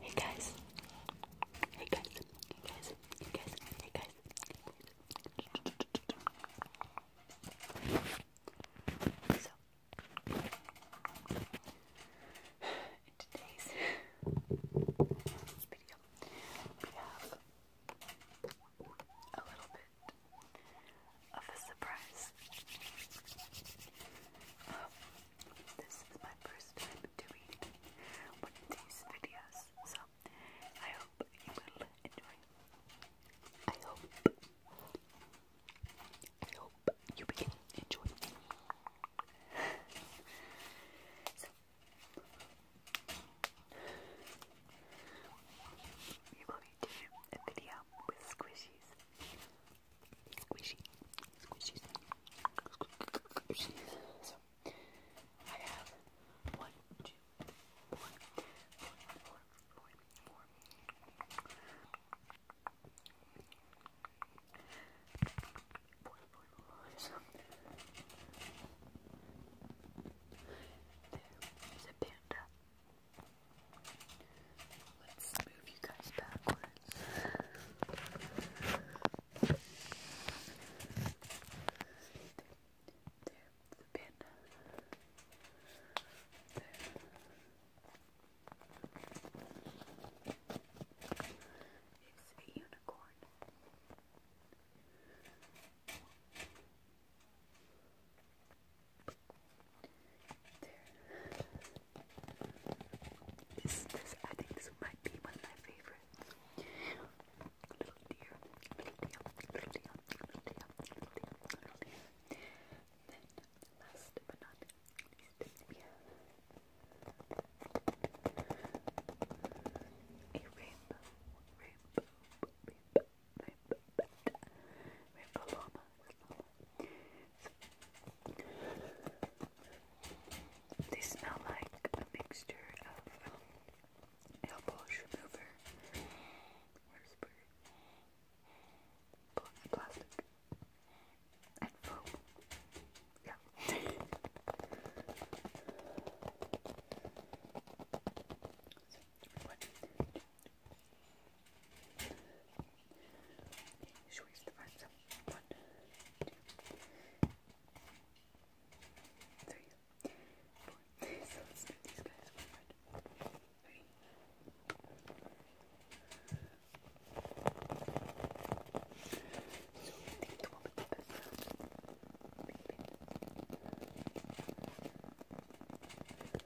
Hey guys. Hey guys. Hey guys. Hey guys. So in today's video we have a little bit of a surprise. Um, this is my first time doing one of these videos, so I hope you will enjoy. I hope. I hope you begin enjoying. so, you will be doing a video with squishies squishy, squishy thing. So, I have one, two, four, four, four, four, four. Let's move you guys backwards. There, the pin. There. a unicorn. There. This, I think this might be one of my favorites. Little deer, little deer, little deer, little deer, little deer, little deer. Then, last but not least, we have a rainbow, rainbow, rainbow, rainbow, rainbow, rainbow they smell like a mixture of um, elbow remover, plastic, and foam. Yeah. Should we have to find some? One, two, three, four. so let's do these guys one by one. Three. So I think the one with the best sound. Beep, beep.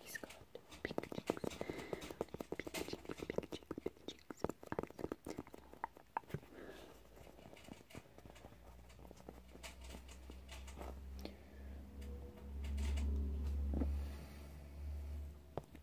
He's got pink cheeks. Pink cheeks, pink cheeks, pink cheeks. Awesome.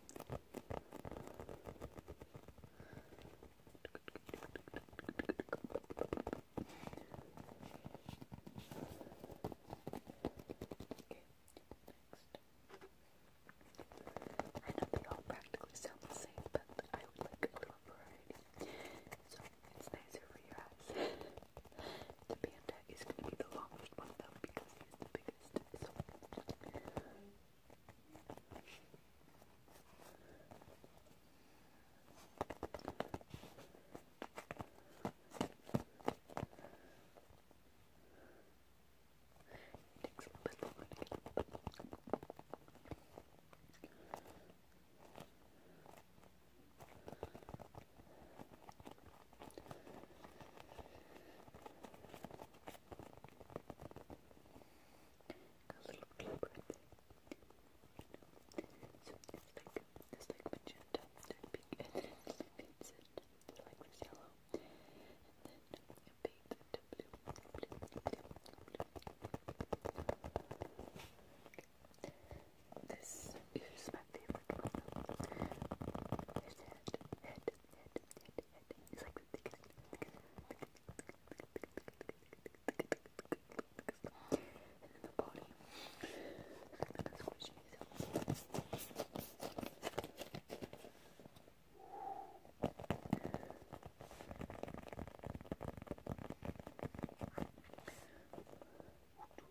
I know they all practically sound the same, but I like a little variety. So it's nicer for your eyes to be is going to be the longest one though because it is the biggest. A little blue So it's like it's like magenta, they're pink, and then it fades into like this yellow, and then it fades into blue, blue, blue, blue. This is my favorite one. There's the head, head, head, head, head. It's like the thickest, thickest, thickest, thickest, thickest, And then the body. Like the squishy Ooh,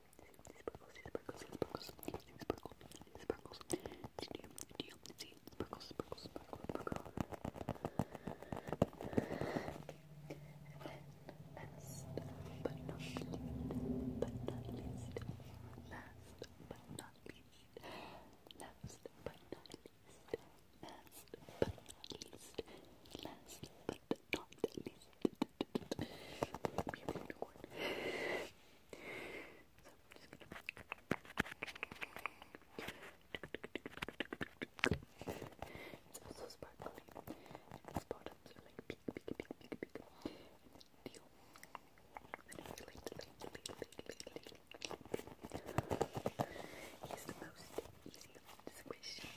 last but not least, it's also sparkly. And its bottoms are like big, big, big, big, big. And then deal. And it's like, like, like, like, like, He's the most easy to squish. So,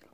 and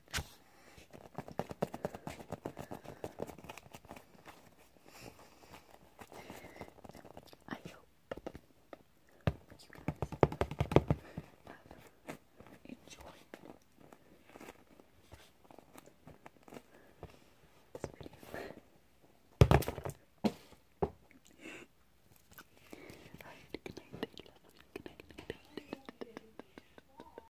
I hope you guys this video. Alright, good night, good night, good night, good night.